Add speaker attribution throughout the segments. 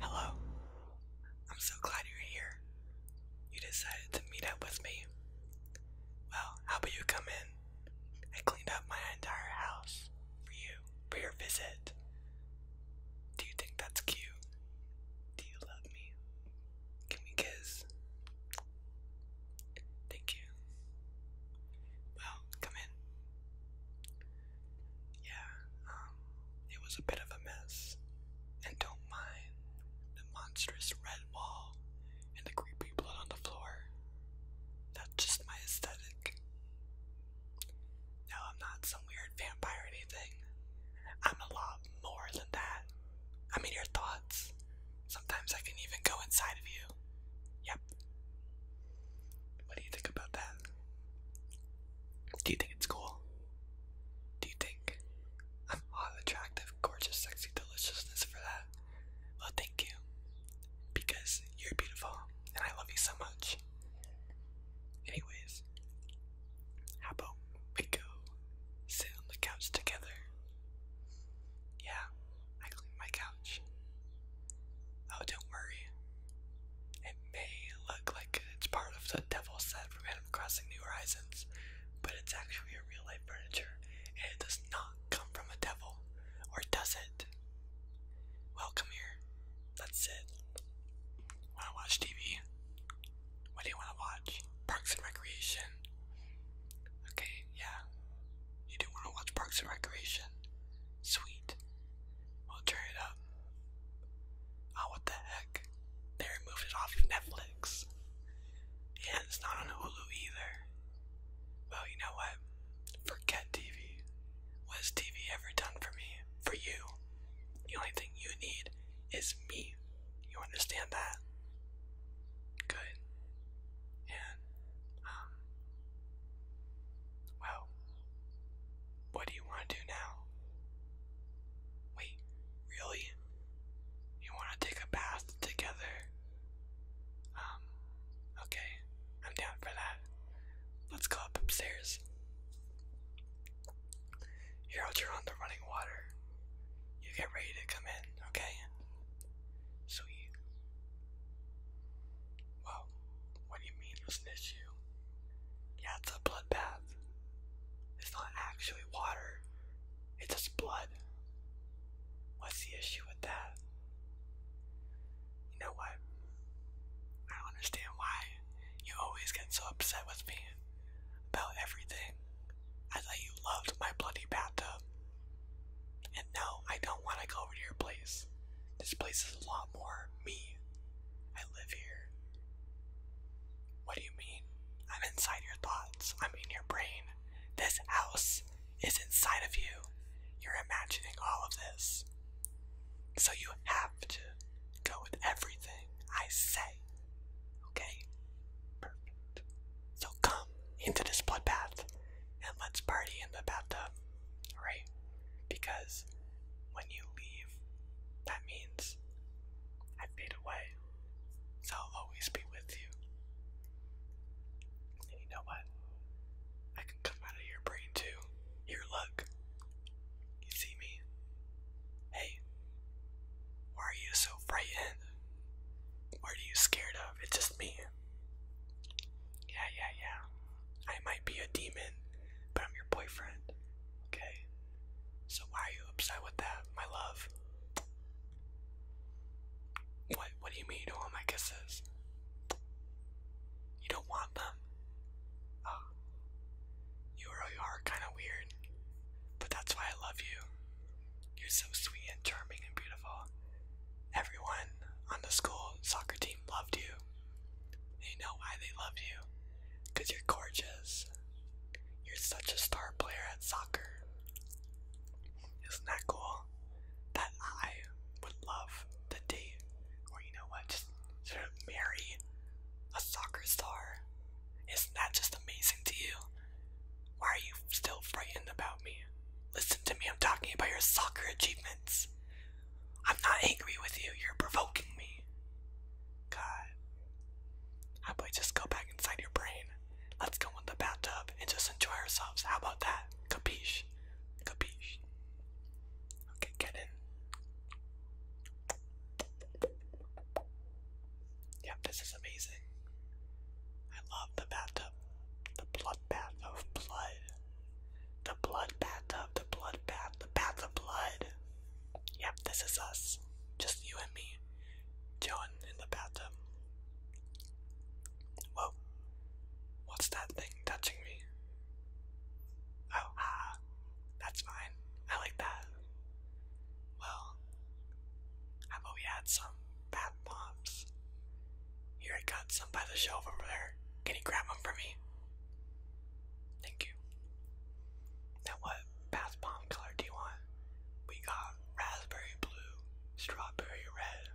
Speaker 1: Hello. I'm so glad you're here. You decided to meet up with me. Well, how about you come in? I cleaned up my entire house for you, for your visit. Do you think that's cute? Do you love me? Give me a kiss? Thank you. Well, come in yeah, um, it was a bit of a mess. And don't mind the monstrous red wall and the creepy blood on the floor. That's just my aesthetic. No, I'm not some weird vampire or anything. I'm a lot more than that. I mean, your thoughts. Sometimes I can even go inside of you. Yep. What do you think about that? Do you think it's cool? Do you think I'm hot, attractive, gorgeous, sexy, deliciousness for that? Well, thank you. Because you're beautiful and I love you so much. Anyways, how we go sit on the couch together? Yeah, I cleaned my couch. Oh, don't worry. It may look like it's part of the Devil set from Animal Crossing New Horizons, but it's actually a real life furniture, and it does not come from a devil. Or does it? Well, come here. That's it. Wanna watch TV? What do you wanna watch? Parks and Recreation. Okay, yeah. You do wanna watch Parks and Recreation. Sweet. We'll turn it up. Oh, what the heck? They removed it off Netflix. And it's not on Hulu either. Well, you know what? Forget TV. What TV ever done for me? For you? The only thing you need is me. You understand that? Good. And, um, well, what do you want to do now? Wait, really? You want to take a bath together? Um, okay, I'm down for that. Let's go up upstairs. Here, I'll turn on the running water. You get ready to come in, okay? So you. Well, what do you mean it's an issue? Yeah, it's a blood bath. It's not actually water, it's just blood. What's the issue with that? You know what? I don't understand why you always get so upset with me about everything. I thought you loved my bloody bathtub. And no, I don't want to go over to your place. This place is a lot more me. I live here. What do you mean? I'm inside your thoughts. I'm in your brain. This house is inside of you. You're imagining all of this. So you have to go with everything I say. Okay? Perfect. So come into this bloodbath and let's party in the bathtub, right? Because when you leave, that means I fade away. So I'll always be with you. And you know what? I can come out of your brain too. Here, look. You see me? Hey, why are you so frightened? What are you scared of? It's just me. Yeah, yeah, yeah. I might be a demon, but I'm your boyfriend. Okay? So why are you upset with that, my love? What what do you mean you don't want You don't want them? Oh. You really are kinda weird. But that's why I love you. You're so sweet and charming and beautiful. Everyone on the school soccer team loved you. They know why they loved you. Because you're gorgeous. You're such a star player at soccer. Isn't that cool? That I would love to date, or you know what, just marry a soccer star. Isn't that just amazing to you? Why are you still frightened about me? Listen to me, I'm talking about your soccer achievements. I'm not angry with you, you're provoking me. God. How about just go back inside your brain? Let's go in the bathtub and just enjoy ourselves. How about that? Capiche? Capiche. Okay, get in. Yep, this is amazing. I love the bathtub. The blood bath of blood. The blood bathtub, the blood bath, the bath of blood. Yep, this is us. Just you and me. John in the bathtub. Whoa. What's that thing touching me? Oh, ah. That's mine. I like that. Well, how we add some bath bombs? Here, I got some by the shelf over there. Can you grab them for me? Thank you. Now, what bath bomb color do you want? We got raspberry blue, strawberry red.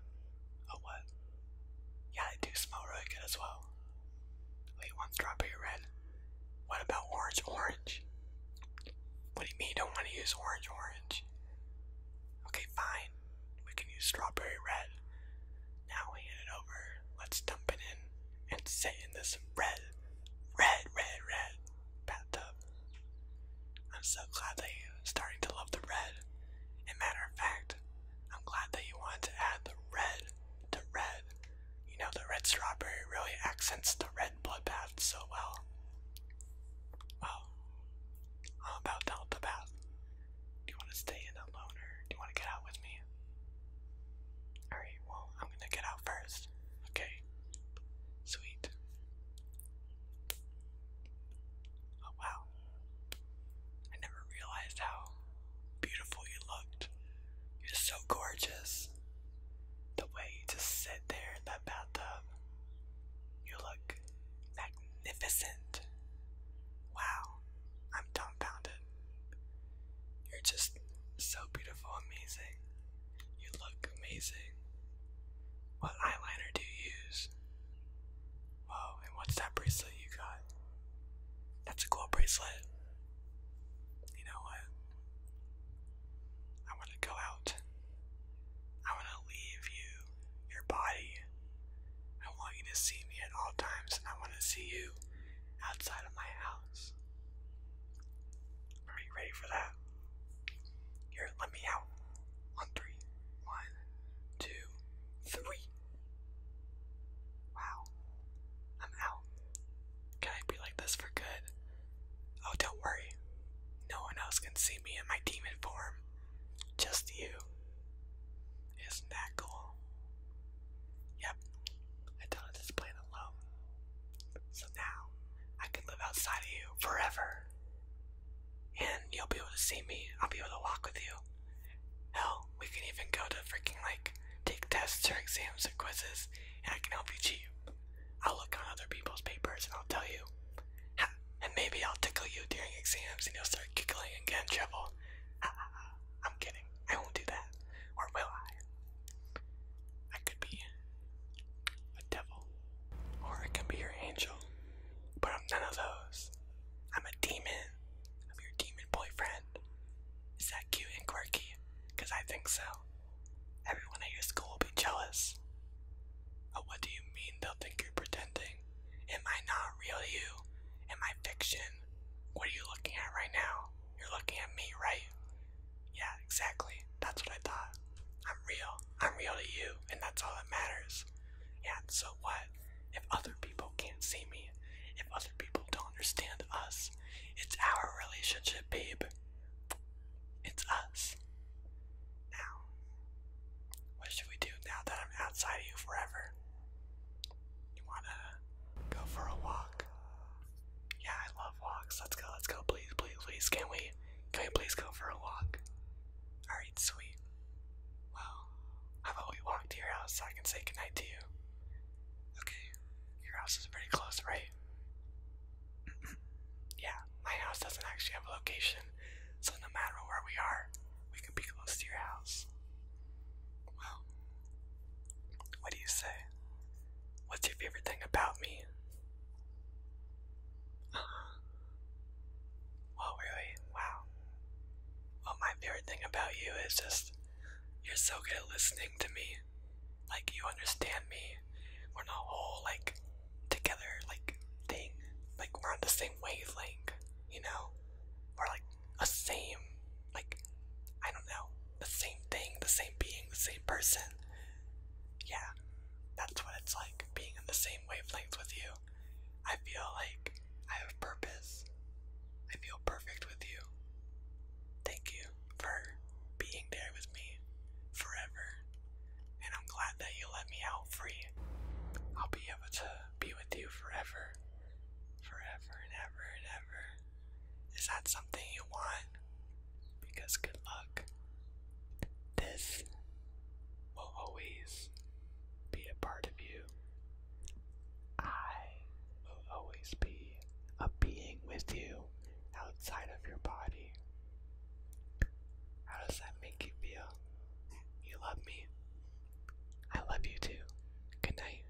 Speaker 1: Oh, what? Yeah, they do smell really good as well. Wait, one strawberry red. What about orange orange? What do you mean don't want to use orange orange? Okay, fine. We can use strawberry red. Now we hand it over. Let's dump it in and say in this red, red, red, red bathtub. I'm so glad that you're starting to love the red. And matter of fact, I'm glad that you wanted to add the red to red. You know, the red strawberry really accents the red bloodbath so well. Well, how about Delta Bath? Do you want to stay in alone or do you want to get out with me? Alright, well, I'm gonna get out first. Okay. Sweet. Oh wow. I never realized how beautiful you looked. You're so gorgeous. The way you just sit there in that bathtub, you look magnificent. Wow, I'm dumbfounded. You're just so beautiful, amazing. You look amazing. What eyeliner do you use? Whoa, and what's that bracelet you got? That's a cool bracelet you know what? I want to go out. I want to leave you, your body. I want you to see me at all times, I want to see you outside of my house. Are you ready for that? Here, let me out. On three. One, two, three. Wow. I'm out. Can I be like this for good? Oh, don't worry. No one else can see me in my demon form. Just you. Isn't that cool? Yep. I don't have this plan alone. So now, I can live outside of you forever. And you'll be able to see me. I'll be able to walk with you. Hell, we can even go to freaking like take tests or exams or quizzes, and I can help you cheat. I'll look on other people's papers and I'll tell you. and maybe I'll tickle you during exams and you'll start giggling and get in trouble. I'm kidding. I won't do that. Or will I? I could be a devil. Or I can be your angel. But I'm none of those. I'm a demon. I'm your demon boyfriend. Is that cute and quirky? Because I think so. Everyone at your school will be jealous. Oh, what do you mean they'll think you're pretending? Am I not real you? Am I fiction? What are you looking at right now? You're looking at me, right? Yeah, exactly. That's what I thought. I'm real. I'm real to you, and that's all that matters else. And so what? If other people can't see me, if other people don't understand us, it's our relationship, babe. It's us. Now, what should we do now that I'm outside of you forever? You wanna go for a walk? Yeah, I love walks. Let's go, let's go, please, please, please. Can we, can we please go for a walk? Alright, sweet. Well, how about we walk to your house so I can say goodnight to you? Okay, your house is pretty close, right? yeah, my house doesn't actually have a location, so no matter where we are, we can be close to your house. Well, what do you say? What's your favorite thing about me? Uh, well, oh, really? Wow. Well, my favorite thing about you is just you're so good at listening to me. Like, you understand me. We're not whole like, together, like, thing. Like, we're on the same wavelength, you know? We're, like, a same, like, I don't know, the same thing, the same being, the same person. Yeah, that's what it's like being in the same wavelength with you. I feel like I have purpose. I feel perfect with you. Thank you for being there with me forever. And I'm glad that you let me out free. I'll be able to be with you forever. Forever and ever and ever. Is that something you want? Because good luck. This will always be a part of you. I will always be a being with you outside of your body. How does that make you feel? You love me. I love you too. Good night.